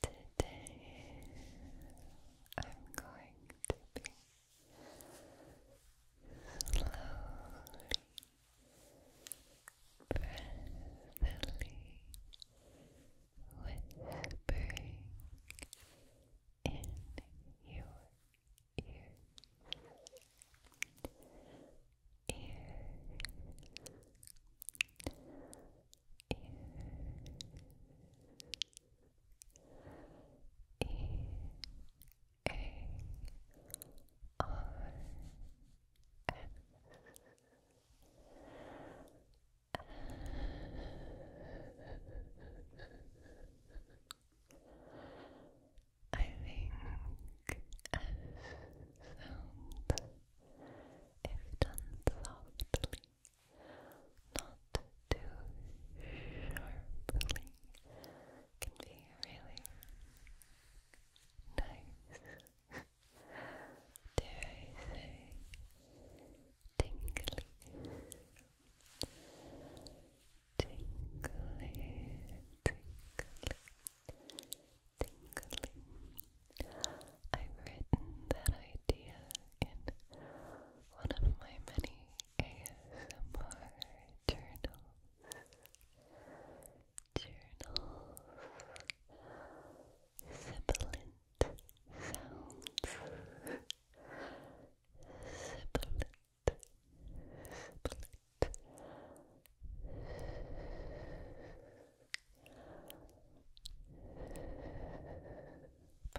Today I'm going to be slowly, breathily whispering in your ear ear, ear, think S sounds if done softly, not too sharply, can be really nice. Dare I say, tingly, tingly, tingly tingly. I've written that idea in one of my many ASMR journals. Journals. Sibilant sounds. Sibilant. But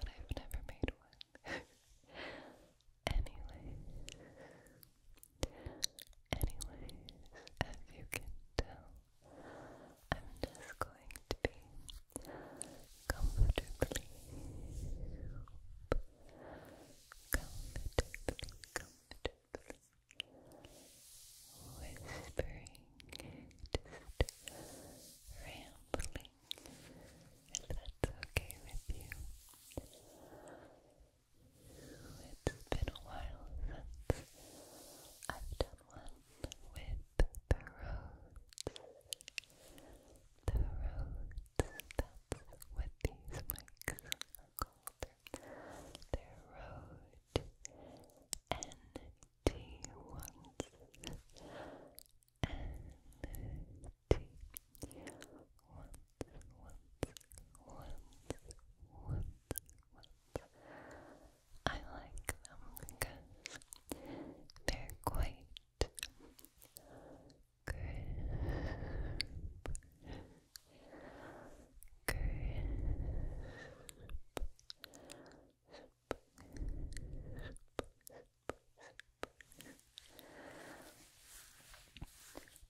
I've never made one. anyways, anyways, as you can tell, I'm just going to be comfortably, comfortably, comfortably whispering, just rambling, if that's okay with you. It's been a while since I've done one with the roads. The roads, that's these mics the road NT once NT once once once once I like them because they're quite crisp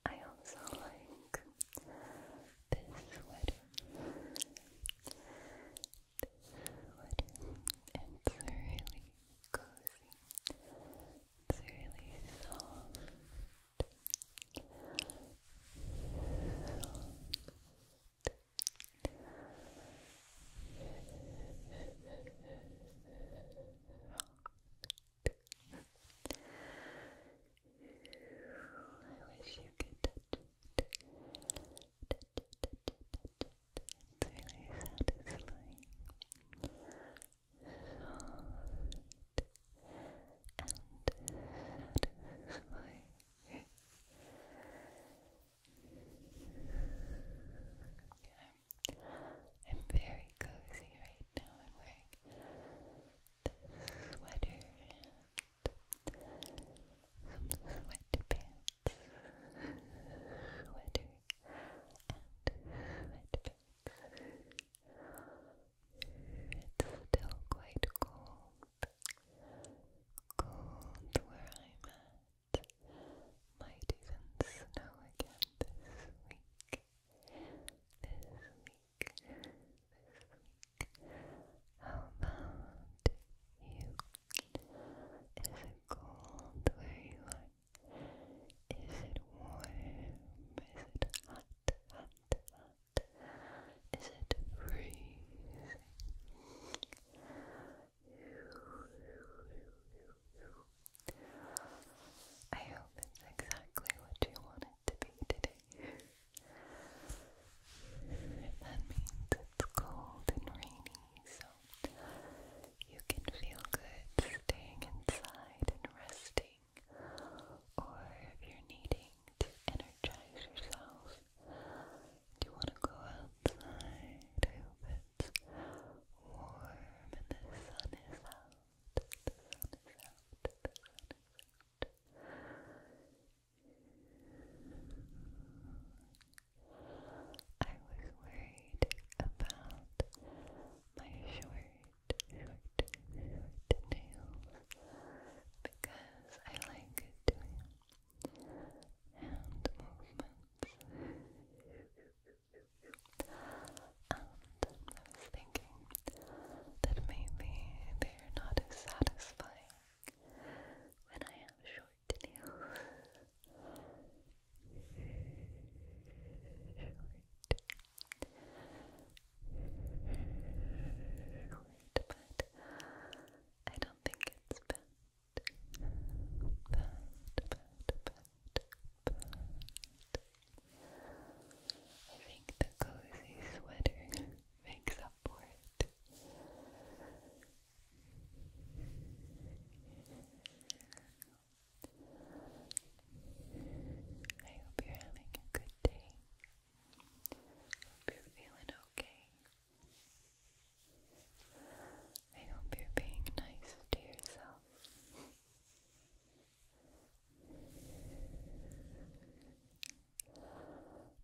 I also like this sweater. It's really cozy. really soft. I wish you could touch it. Touch it, touch it, touch it. It's really satisfying okay. I'm very cozy right now. I'm wearing this sweater and some Sweater and sweat it's still quite cold. Cold where I'm at. Might even snow again this week. This week. This week. How about you? Is it cold where you are? Is it warm? Is it hot? Is it freezing? I hope it's exactly what you want it to be today. That means it's cold and rainy, so you can feel good staying inside and resting or if you're needing to energize yourself, do you want to go outside? I hope warm and the sun is out. The sun is out. The sun is out. I was worried about my short short, short because I like doing hand movements. And I was thinking that maybe they're not as satisfying when I have short nails. Right, but I don't think it's bad. I think the cozy sweater makes up for it. I hope you're having a good day. Hope you're feeling okay. I hope you're being nice to yourself.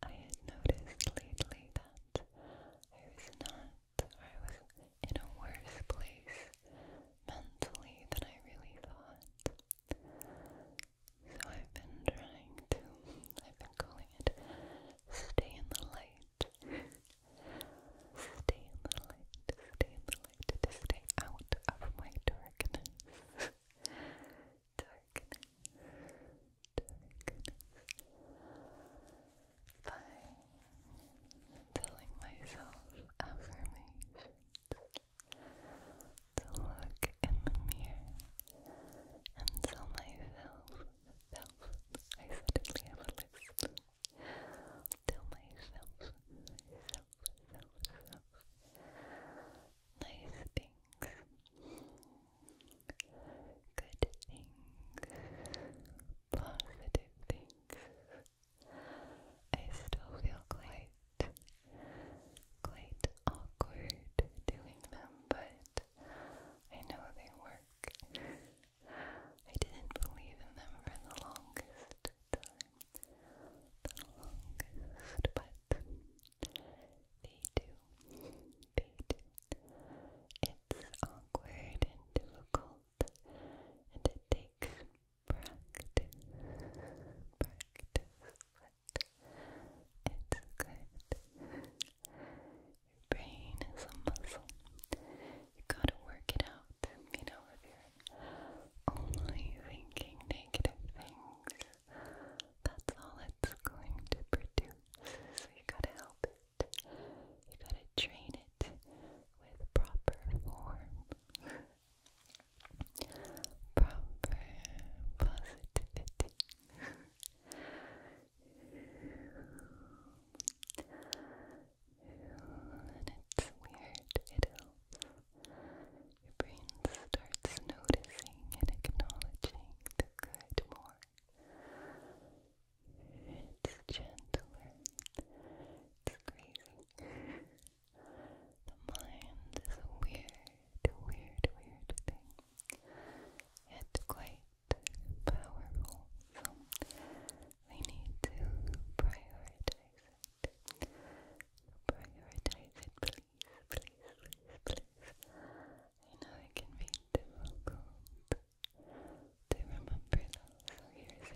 I had noticed lately that I was not, I was in a worse place mentally than I really thought. So I've been trying to, I've been calling it Stay in the Light. stay in the light, stay in the light, to stay out of my darkness. darkness, darkness. By telling myself affirmations to look in the mirror and tell myself, self, I suddenly have a list. Tell myself, self, self, self, nice things, good things, positive things. I still feel quite, quite awkward doing them, but I know they work. I didn't believe in them for the longest time, the longest, but they do, they do. It's awkward and difficult, and it takes practice, practice what it's good. Your brain is a muscle. You gotta work it out. You know, if you're only thinking negative things, that's all it's going to produce. So you gotta help it. You gotta train it with proper form proper positivity. and it's weird, it helps. Your brain starts noticing and acknowledging the good more. It's gentler. It's crazy. The mind is a weird, weird, weird thing. Yet quite powerful. So we need to prioritize it. Prioritize it, please, please, please, please. I know it can be difficult to remember so here's a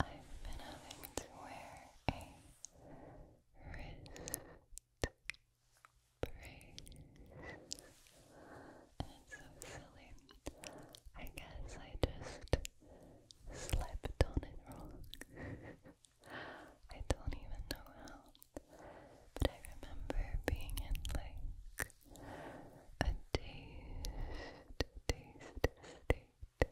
I've been having to wear a wrist brace, and so silly. I guess I just slept on it wrong. I don't even know how. But I remember being in like a taste, taste state.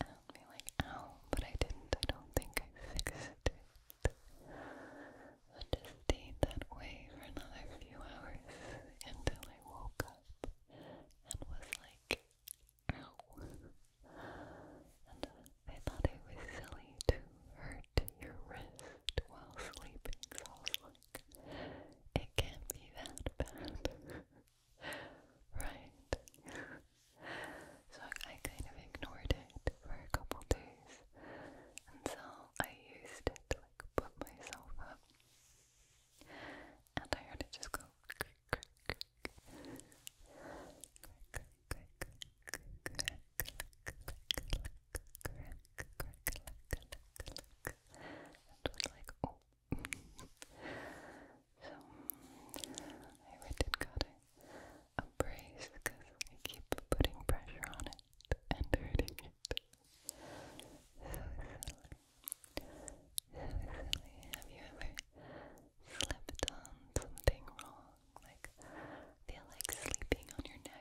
And be like, ow, but I didn't, I don't think I fixed it. So just stayed that way for another few hours until I woke up and was like, ow. And I thought it was silly to hurt your wrist while sleeping, so like it can't be that bad. right? so I kind of ignored it for a couple days until I used it like put myself up. And I heard it just go was like, oh. so, I really gotta brace because I keep putting pressure on it and hurting it. So silly. So silly. Have you ever slept on something wrong? Like, feel like sleeping on your neck?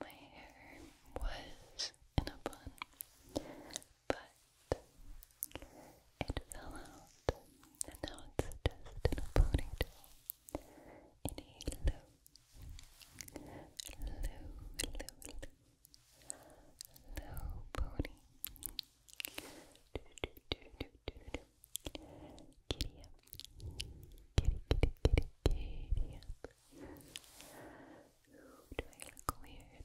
My hair was in a bun, but it fell out, and now it's just in a ponytail. low, low, low, low, low pony. Giddy up. Giddy, giddy, giddy, giddy up. Ooh, do I look weird? You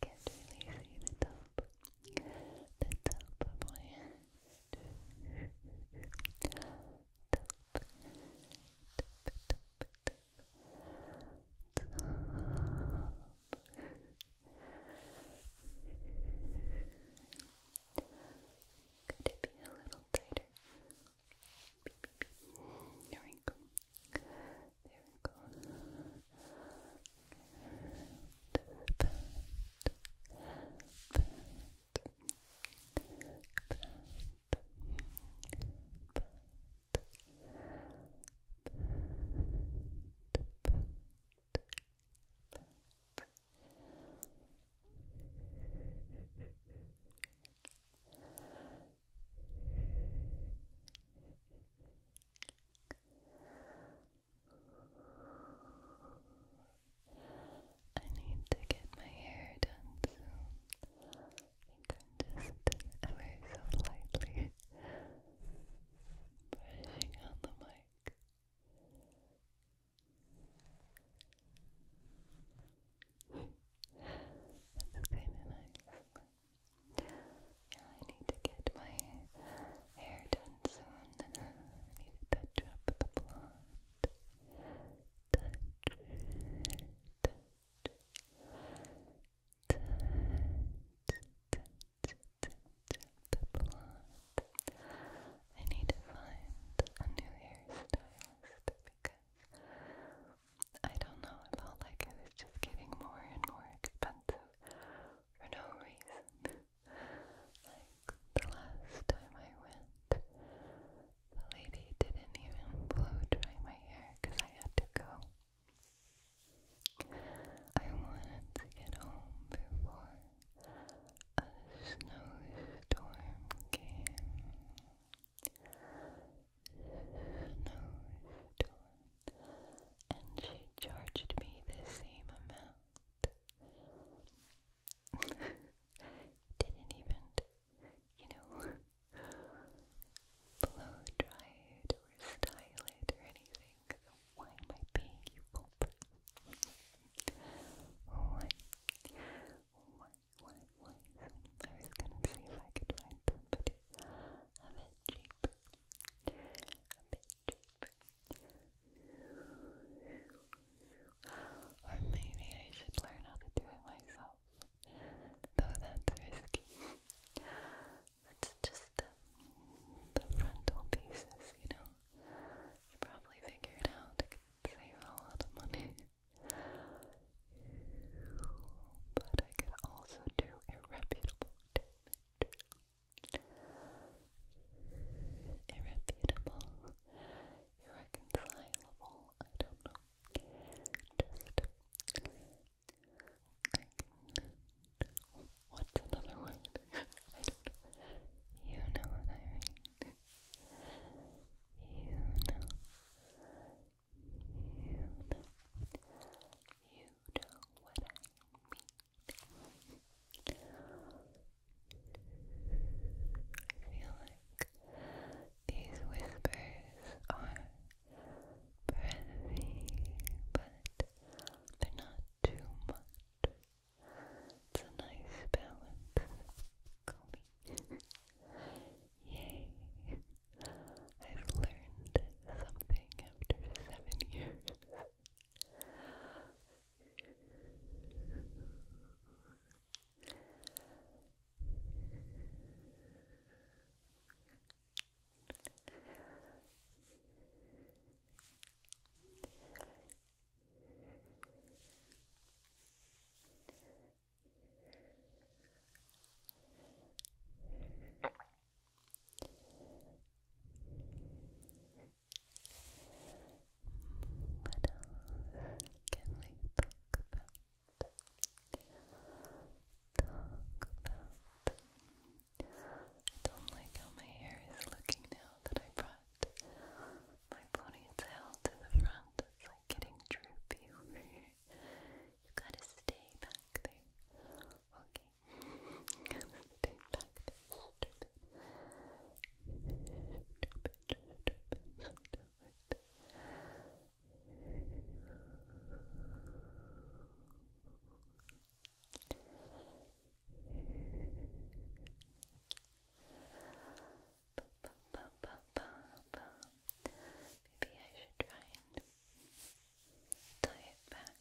can't really see the top. The top of my head. Top, top, top, top. Top. Could it be a little tighter? There we go. There I need to get my hair done soon. I am just ever so lightly brushing on the mic. That's kind of nice. Yeah, I need to get my hair done soon. I need to touch up the blonde. Touch, touch, touch, touch the blonde. I need to find a new hairstylist because I don't know, it felt like it was just getting more and more expensive for no reason. like the last time I went, the lady didn't even blow dry my hair because I had to go I wanted to get home before a snowstorm came. Snowstorm. And she charged me the same amount. Didn't even, you know, blow dry it or style it or anything like, why am I paying you corporate? why? Why, why, why? I was gonna see if I could find somebody a bit cheaper. A bit cheaper. Or maybe I should learn how to do it myself. Though that's risky. That's just the, the frontal pieces, you know. You probably figured it could save a lot of money. But I could also do a reputable irreconcilable, I don't know. Just What's another word? I don't You know what I mean. You know. You know. You know what I mean. I feel like these whispers are breathy, but they're not too much. It's a nice balance. Yay. I've learned something after seven years. What else can we talk about? Talk about. I don't like how my hair is looking now that I brought my ponytail to the front. It's like getting droopy over here. gotta stay back there. Okay. stay back Maybe I should try and tie it back.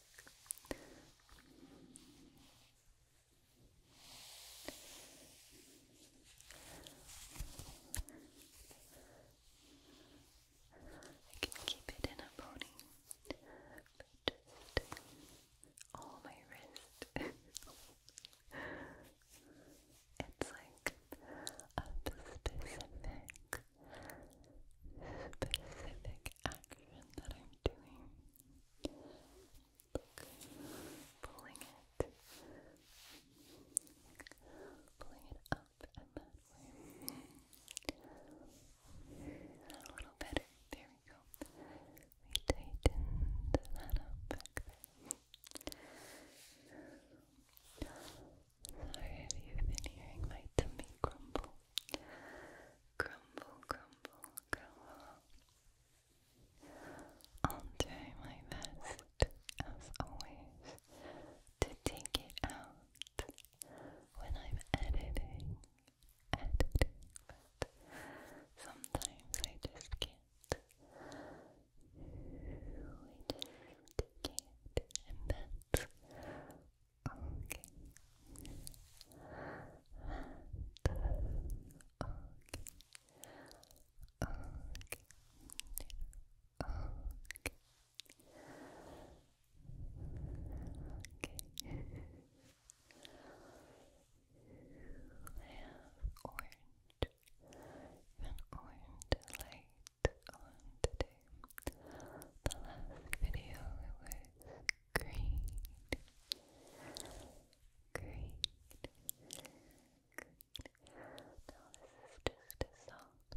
Good. I can keep it in a pony, just all my wrist. it's like a specific, specific action that I'm doing. Look, pulling it, pulling it up up and that way. A little better. There we go. We tightened that up Sorry if you been hearing my tummy grumble. Grumble, grumble, grumble. I'll try my best, as always, to take it out when I'm editing, editing, but sometimes I just can't. I just can't, and okay. okay. Okay. Okay. Okay. I have orange, an orange light on today. The last video was green. Green. Green. Now this is just a soft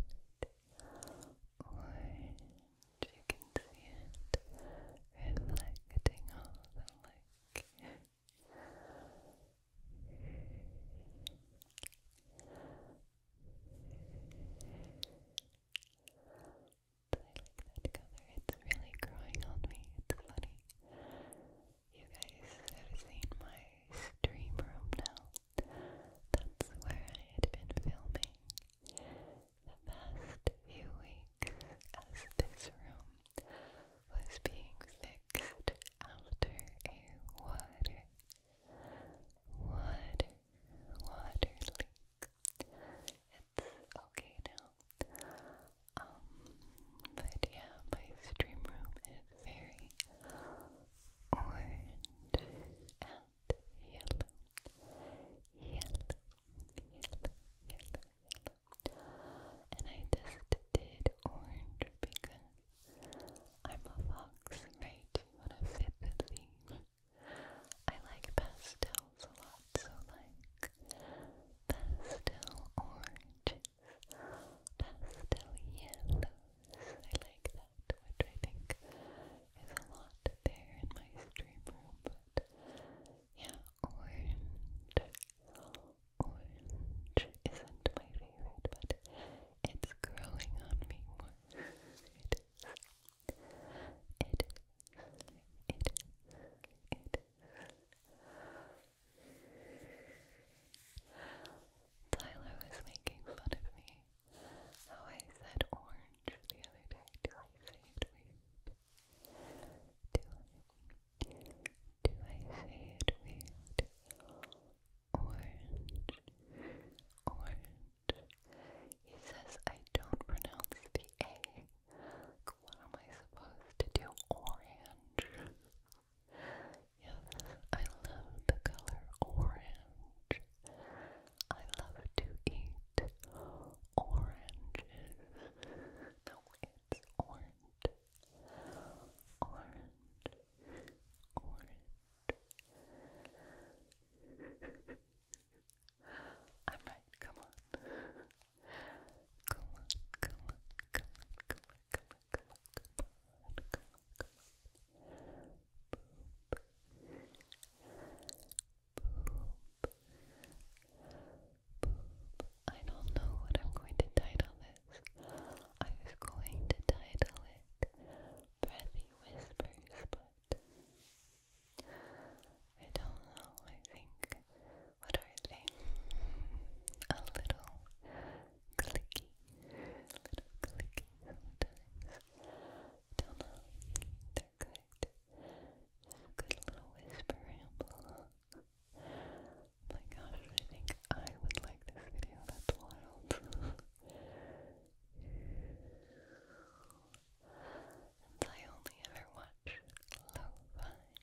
orange. You can reflecting all the light. I like that color. It's really growing on me. It's funny. You guys have seen my stream room now. That's where I had been filming the past few weeks as this room was being fixed after a water, water, water leak. It's okay now. Um, but yeah, my stream room is very orange yellow, yellow, yellow, yellow, And I just did orange because I'm a fox, right? You wanna fit I like pastels a lot, so like pastel oranges, pastel yellows. I like that that, which I think is a lot there in my stream room, but yeah, orange. isn't my favorite, but it's growing on me more. It is. It is. It is. It is. Tyler was making fun of me how oh, I said orange the other day. Do I say it weird? Do I, do I say it weird? Orange, orange. He says I don't pronounce the A. what am I supposed to do? Orange. I love the color orange. I love to eat oranges. No, it's orange. Orange. Orange. i come on. Come on, come on, come on, come on, come on, come on, come on, come up. I don't know what I'm going to title this. I was going to title it Breathy Whispers, but I don't know. I think what are they? A little clicky, little clicky sometimes. Don't know. They're good. good little whisper my gosh, I think I would like this video. That's wild. Since I only ever watch lo-fi, lo-fi,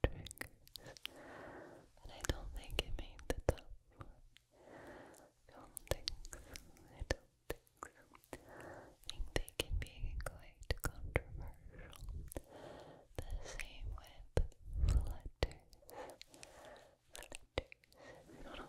triggers, and I don't think it made the top one. I don't think I think they can be quite controversial. The same with flutters. Flutters. I don't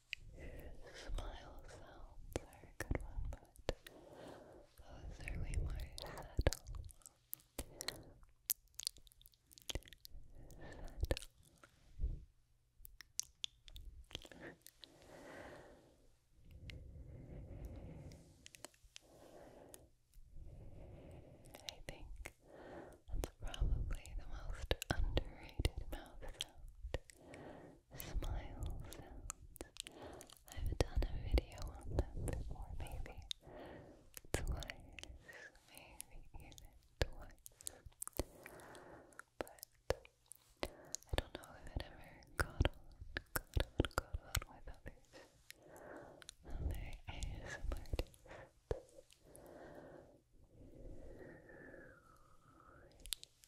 Smile sounds are a good one, but those are way more subtle. I think that's probably the most underrated mouth sound smile sounds. I've done a video on them before, maybe twice, maybe even twice. But I don't know if it ever got on, got on, got on with others. Other ASMR artists. It's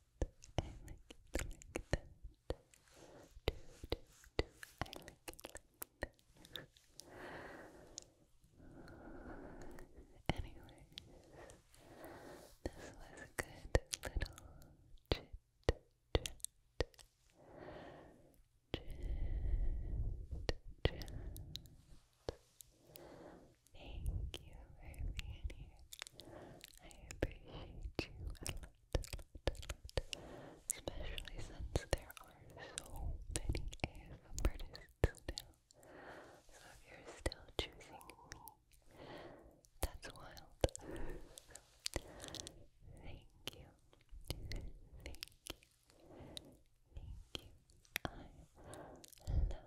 I like it like that. Do, do, do. I like it like that. Anyways, this was a good little chit chat. Chit chat. Thank you for I appreciate you a lot, Especially since there are so many ASM artists So if you're still choosing me, that's wild. thank you. Thank you. Thank you. I love, love,